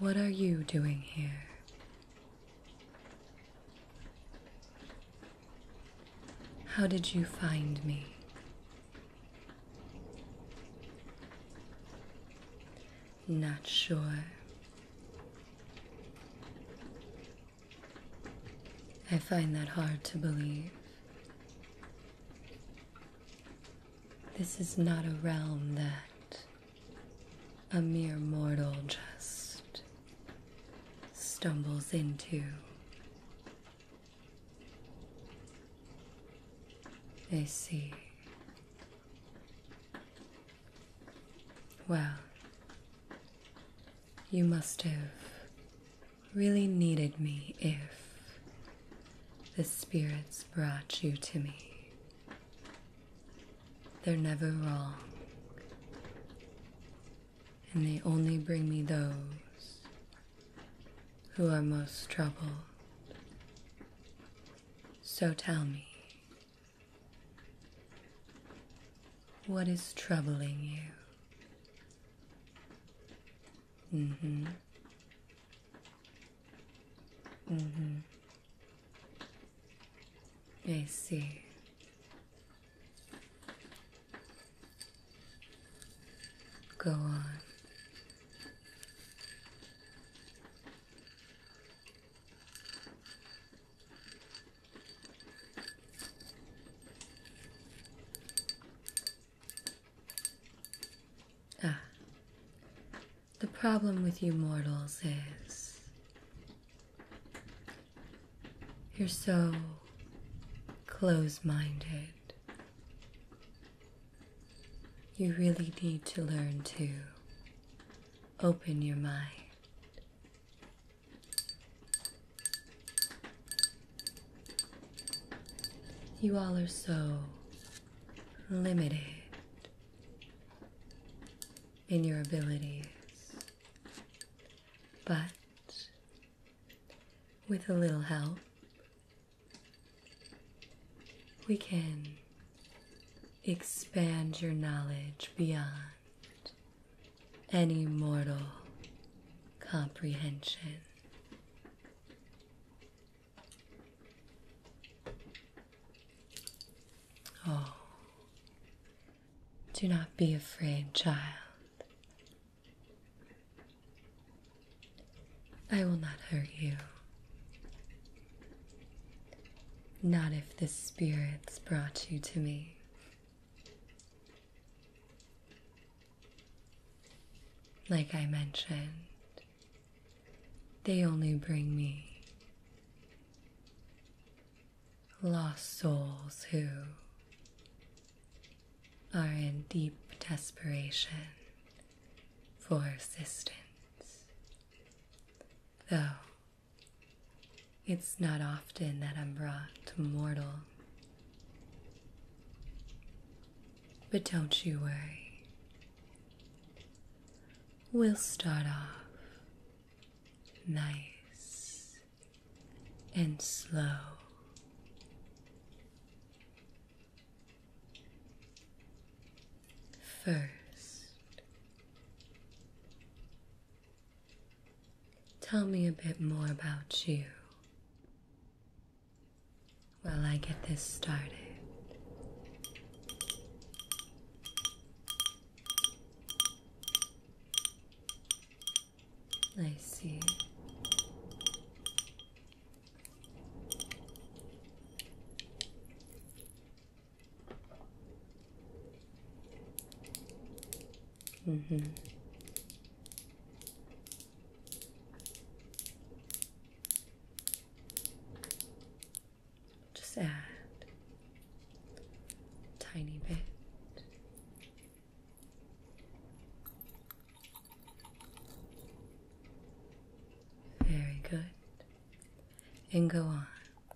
What are you doing here? How did you find me? Not sure. I find that hard to believe. This is not a realm that a mere mortal just stumbles into. They see well, you must have really needed me if the spirits brought you to me. They're never wrong, and they only bring me those who are most troubled. So tell me, what is troubling you? Mm hmm. Mm hmm. I see. Go on. Ah, the problem with you mortals is you're so close minded. You really need to learn to open your mind. You all are so limited in your abilities, but with a little help, we can Expand your knowledge beyond any mortal comprehension. Oh, do not be afraid, child. I will not hurt you. Not if the spirits brought you to me. Like I mentioned, they only bring me lost souls who are in deep desperation for assistance, though it's not often that I'm brought to mortal. But don't you worry. We'll start off nice and slow. First, tell me a bit more about you while I get this started. I see. Mm-hmm. Just add tiny bit. Very good. And go on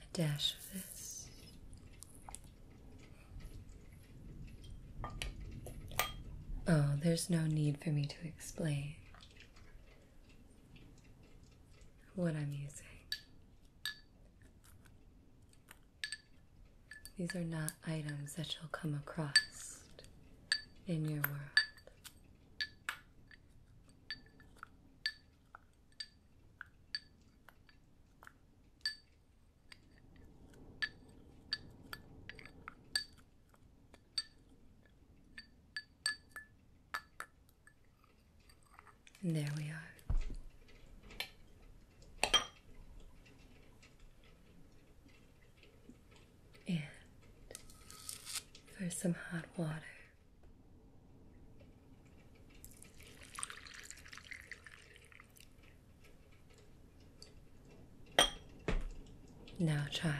a dash of this. Oh, there's no need for me to explain what I'm using. These are not items that you'll come across in your world. And there we are. And for some hot water. Now, child,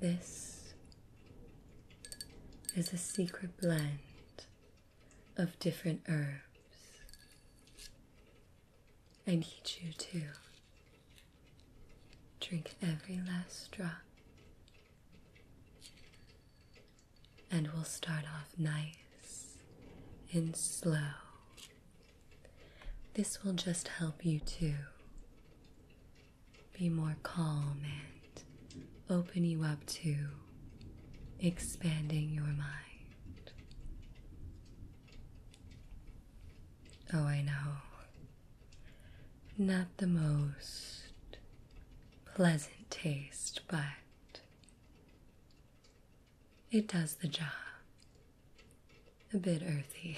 this is a secret blend of different herbs. I need you to drink every last drop and we'll start off nice and slow. This will just help you to be more calm and open you up to expanding your mind. Oh, I know. Not the most pleasant taste, but it does the job. A bit earthy.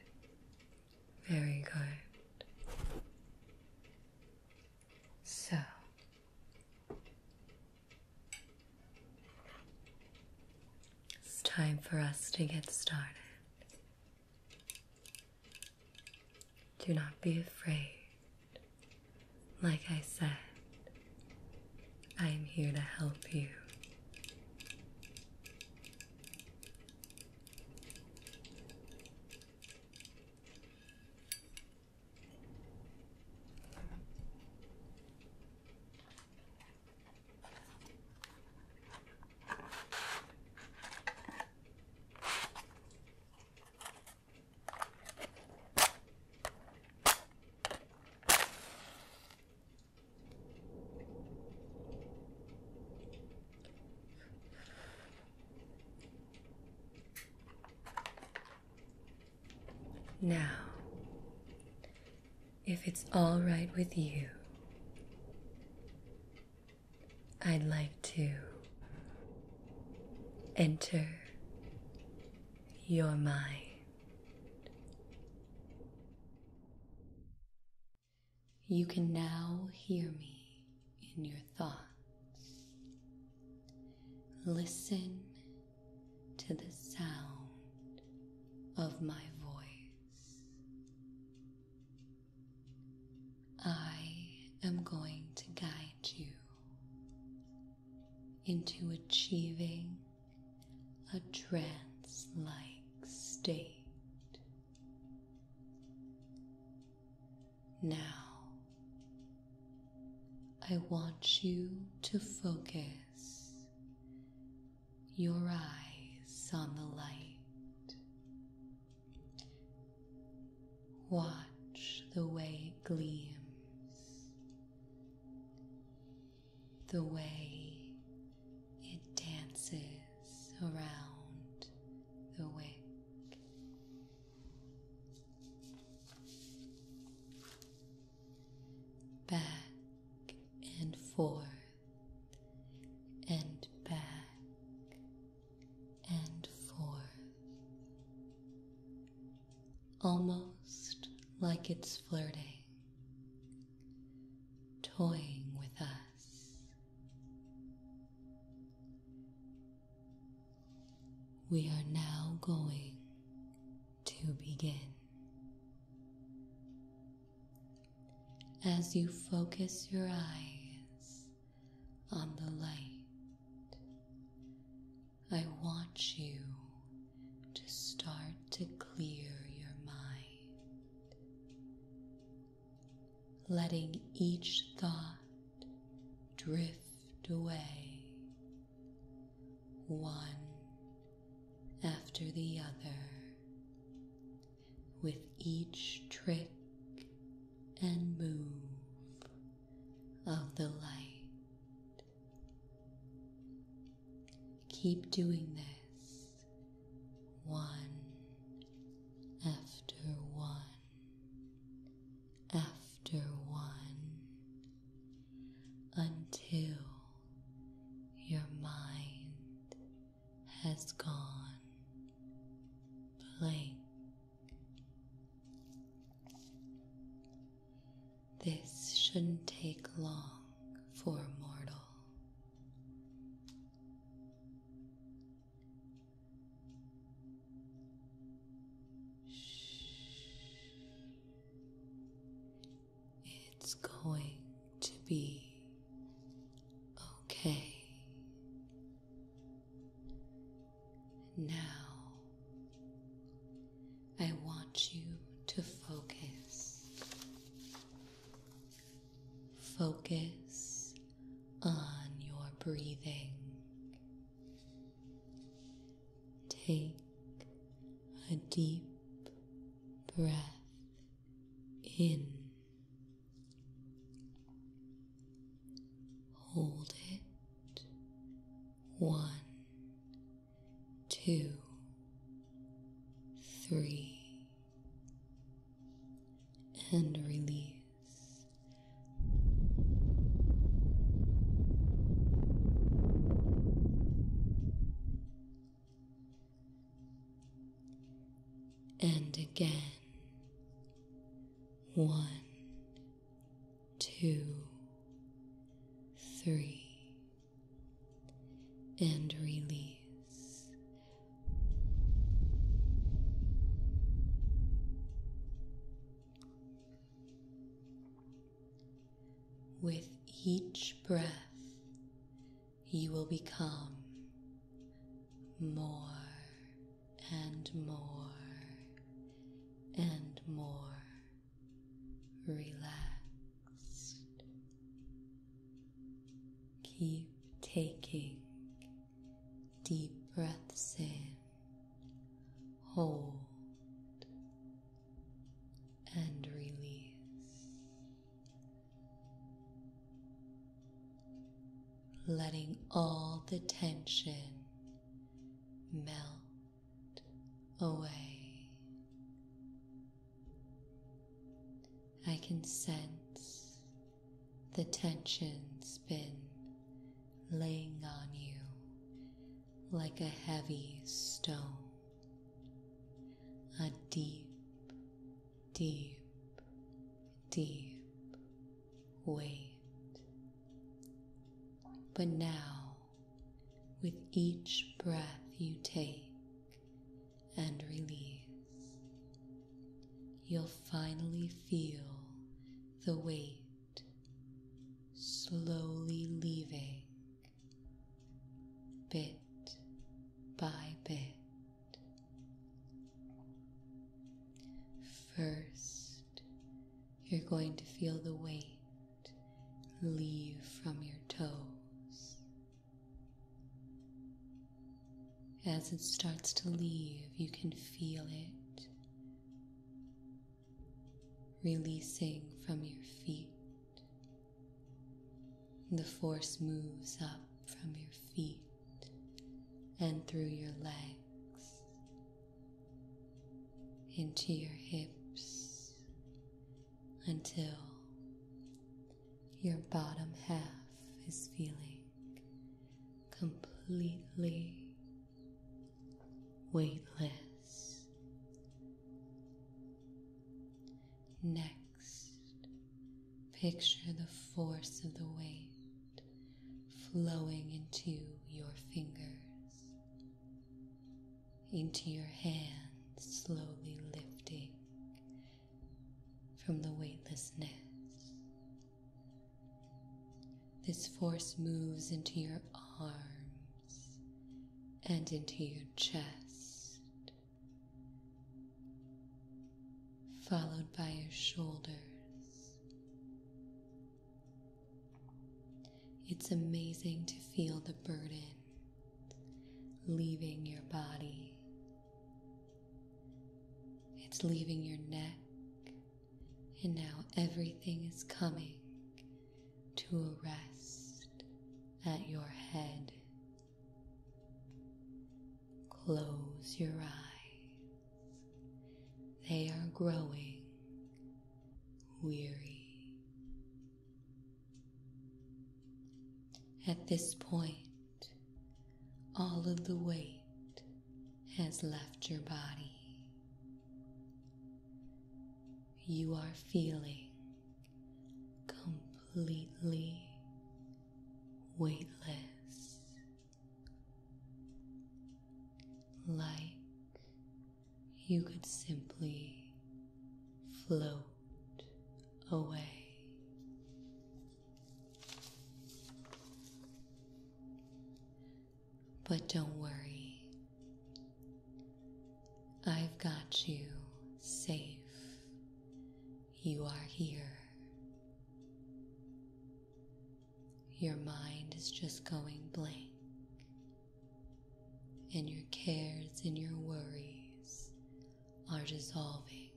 Very good. So. It's time for us to get started. Do not be afraid. Like I said, I am here to help you. Now, if it's all right with you, I'd like to enter your mind. You can now hear me in your thoughts. Listen to the sound of my voice. I am going to guide you into achieving a trance like state. Now, I want you to focus your eyes on the light Watch the way it gleams, the way it dances around the wick. Back and forth and back and forth, almost like it's flirting, toying with us. We are now going to begin. As you focus your eyes on the light. I want you to start to clear your mind, letting each thought drift away, one after the other with each trick and move of the light. Keep doing this one after one after one until your mind has gone blank. This shouldn't take long for a mortal. It's going to be okay. Now I want you to focus. Focus on your breathing. Take a deep breath in Hold it. One, two, three. And release. And again. One, two, three, and release. With each breath, you will become more and more and more Relax. Keep taking deep breaths in, hold. And release letting all the tension melt away. I can sense the tension's been laying on you like a heavy stone, a deep deep, deep weight. But now, with each breath you take and release, you'll finally feel the weight slowly leaving bit by bit. First, you're going to feel the weight leave from your toes. As it starts to leave, you can feel it releasing from your feet. The force moves up from your feet and through your legs into your hips until your bottom half is feeling completely weightless. Next, Picture the force of the weight flowing into your fingers, into your hands, slowly lifting from the weightlessness. This force moves into your arms and into your chest followed by your shoulders. It's amazing to feel the burden leaving your body. It's leaving your neck, and now everything is coming to a rest at your head. Close your eyes. They are growing weary. At this point, all of the weight has left your body. You are feeling completely weightless like you could simply float away. But don't worry, I've got you safe. You are here. Your mind is just going blank, and your cares and your worries are dissolving.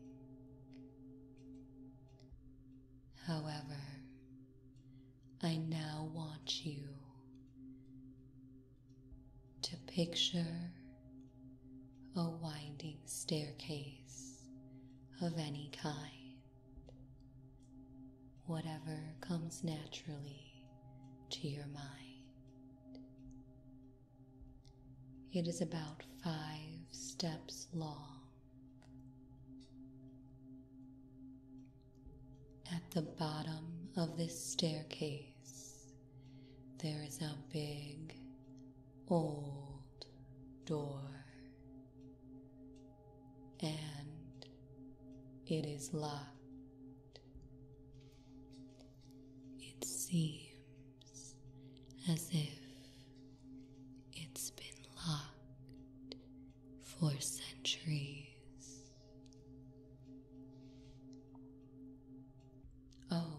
However, I now want you to picture a winding staircase of any kind. Whatever comes naturally to your mind. It is about five steps long. At the bottom of this staircase, there is a big old door and it is locked. It seems as if it's been locked for centuries. Oh,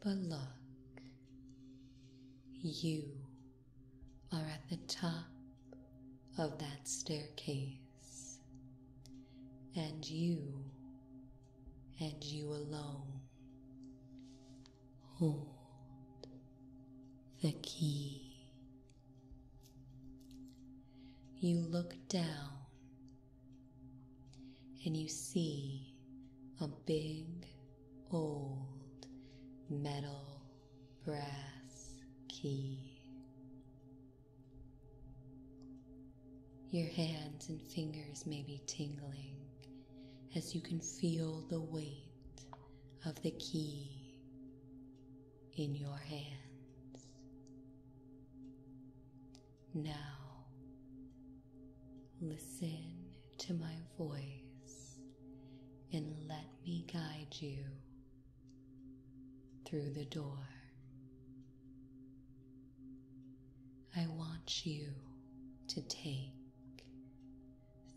but look, you are at the top of that staircase, and you, and you alone, hold the key. You look down and you see a big old metal brass key. Your hands and fingers may be tingling as you can feel the weight of the key in your hands. Now, listen to my voice and let me guide you through the door. I want you to take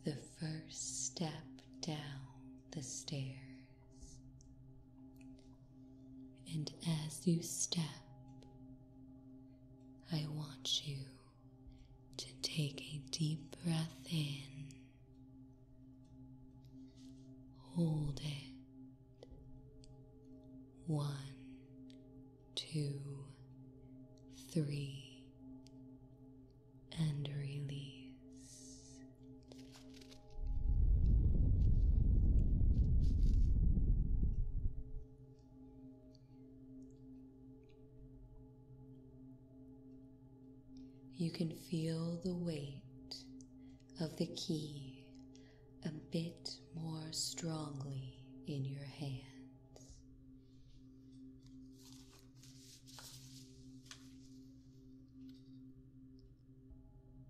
the first step down the stairs. And as you step, I want you to take a deep breath in, hold it. One, two, three, and release. You can feel the weight of the key a bit more strongly in your hands.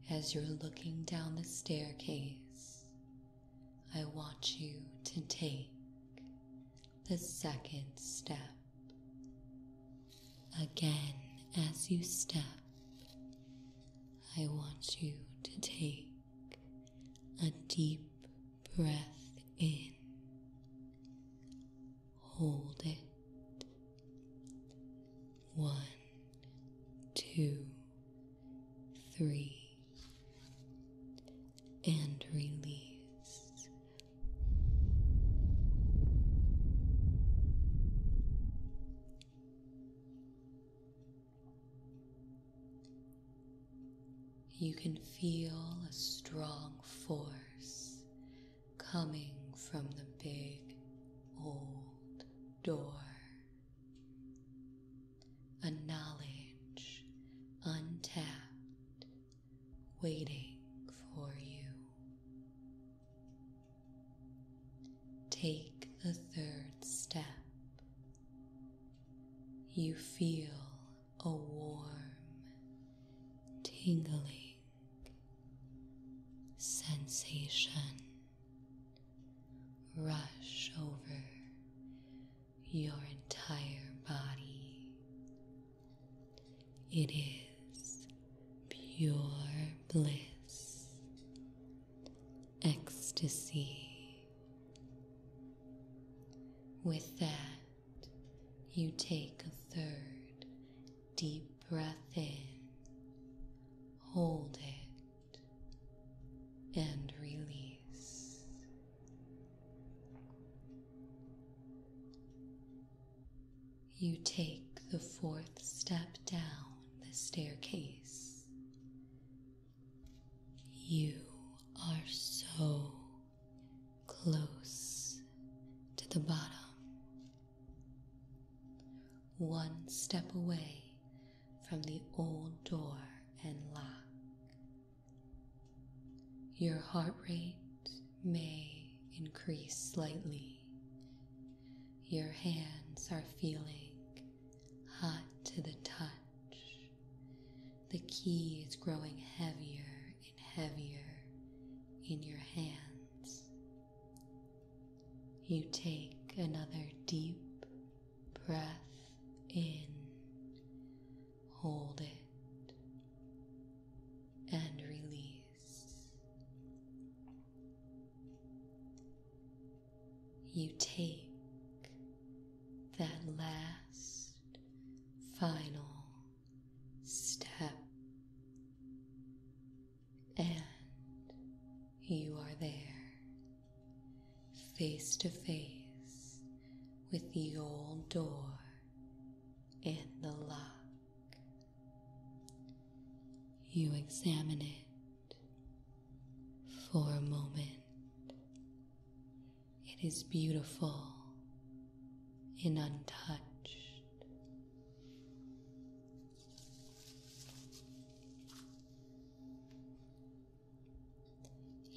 As you're looking down the staircase I want you to take the second step. Again, as you step, I want you to take a deep breath in. Hold it. One, two, three and release. You can feel a strong force coming from the big old door a knowledge untapped, waiting for you. Take the third step. You feel a warm, tingling sensation rush over your entire body. It is pure bliss, ecstasy. With that, you take a third deep breath in, hold it, and release. You take the fourth step down the staircase. You are so close to the bottom. One step away from the old door and lock your heart rate may increase slightly. Your hands are feeling hot to the touch. The key is growing heavier and heavier in your hands. You take another deep breath in hold it, and release. You take that last final step, and you are there face to face with the old door and the lock. You examine it for a moment. It is beautiful and untouched.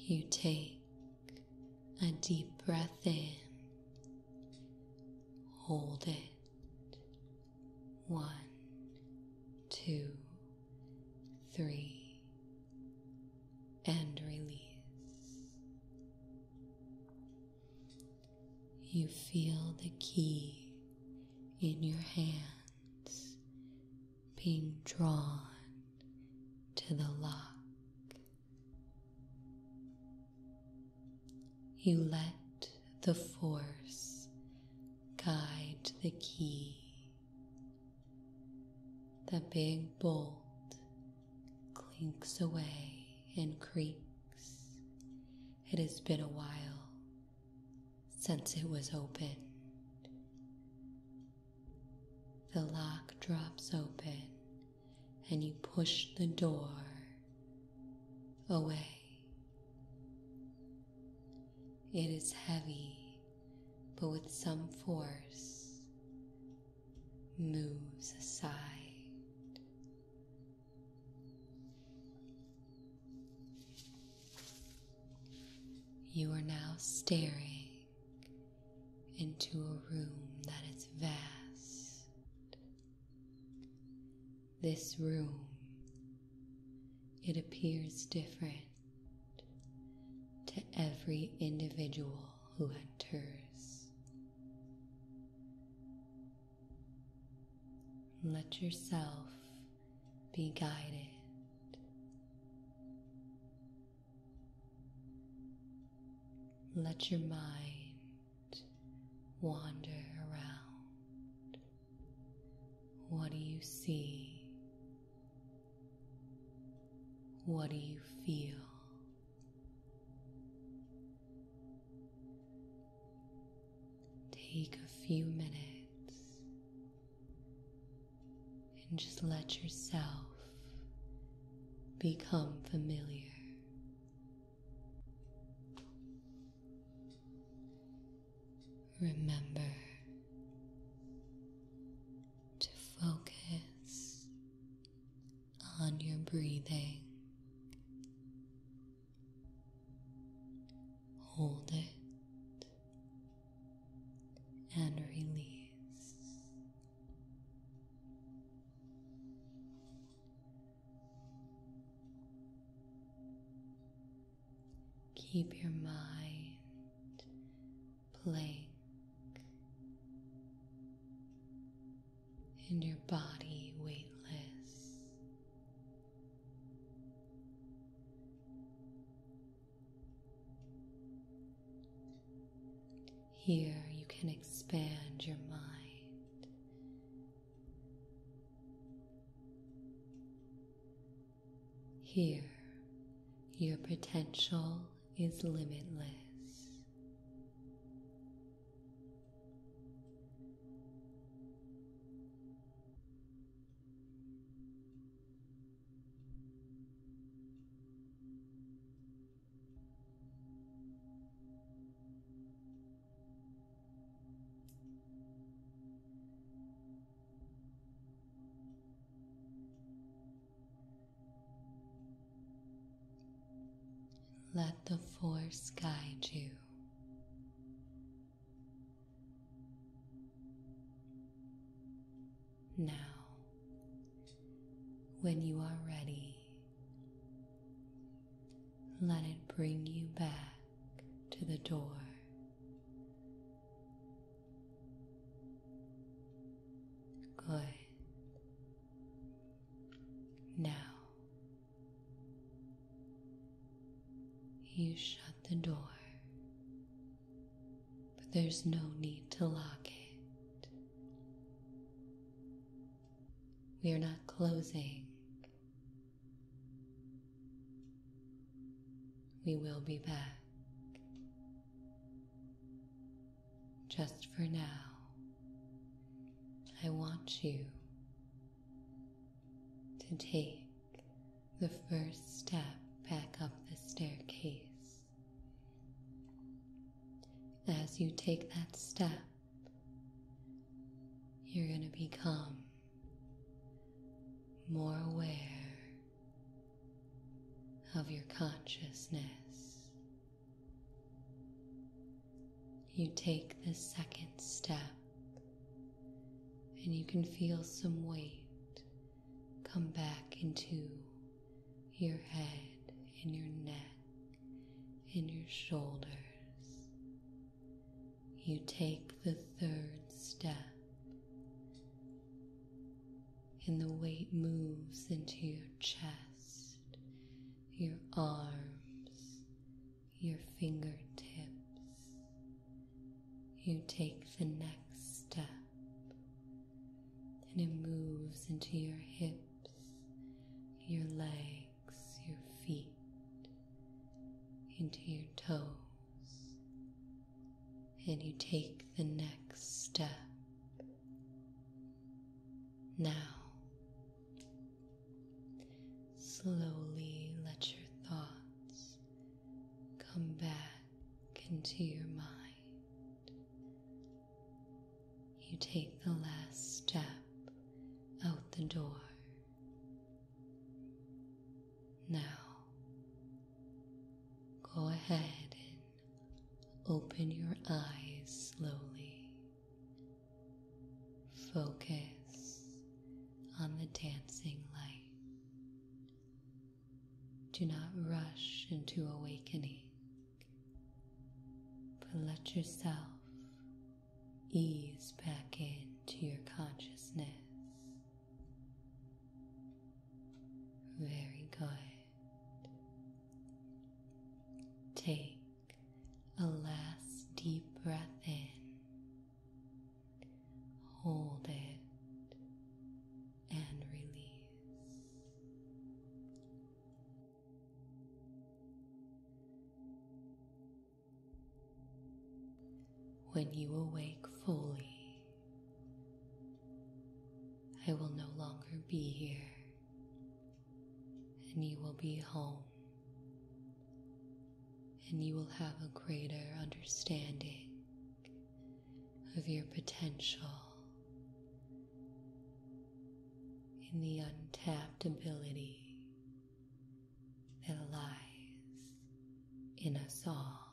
You take a deep breath in, hold it. One, two, three, and release. You feel the key in your hands being drawn to the lock. You let the force guide the key. The big bolt clinks away and creaks. It has been a while since it was opened. The lock drops open and you push the door away. It is heavy, but with some force moves aside. You are now staring into a room that is vast. This room, it appears different to every individual who enters. Let yourself be guided let your mind wander around. What do you see? What do you feel? Take a few minutes and just let yourself become familiar. Remember to focus on your breathing. Hold it and release. Keep your mind blank and your body weightless. Here you can expand your mind. Here your potential is limitless. Let the force guide you. Now, when you are ready, let it bring you back to the door. Good. Now, you shut the door but there's no need to lock it. We are not closing. We will be back. Just for now, I want you to take the first step back up the staircase. As you take that step, you're going to become more aware of your consciousness. You take the second step, and you can feel some weight come back into your head and your neck and your shoulders. You take the third step, and the weight moves into your chest, your arms, your fingertips. You take the next step and it moves into your hips, your legs, your feet, into your toes. And you take the next step. Now, slowly let your thoughts come back into your mind you take the last step out the door. Now, go ahead and open your eyes slowly. Focus on the dancing light. Do not rush into awakening. But let yourself ease back into your consciousness. Very good. Take a last deep breath in. Hold it and release. When you awake fully, I will no longer be here, and you will be home, and you will have a greater understanding of your potential in the untapped ability that lies in us all.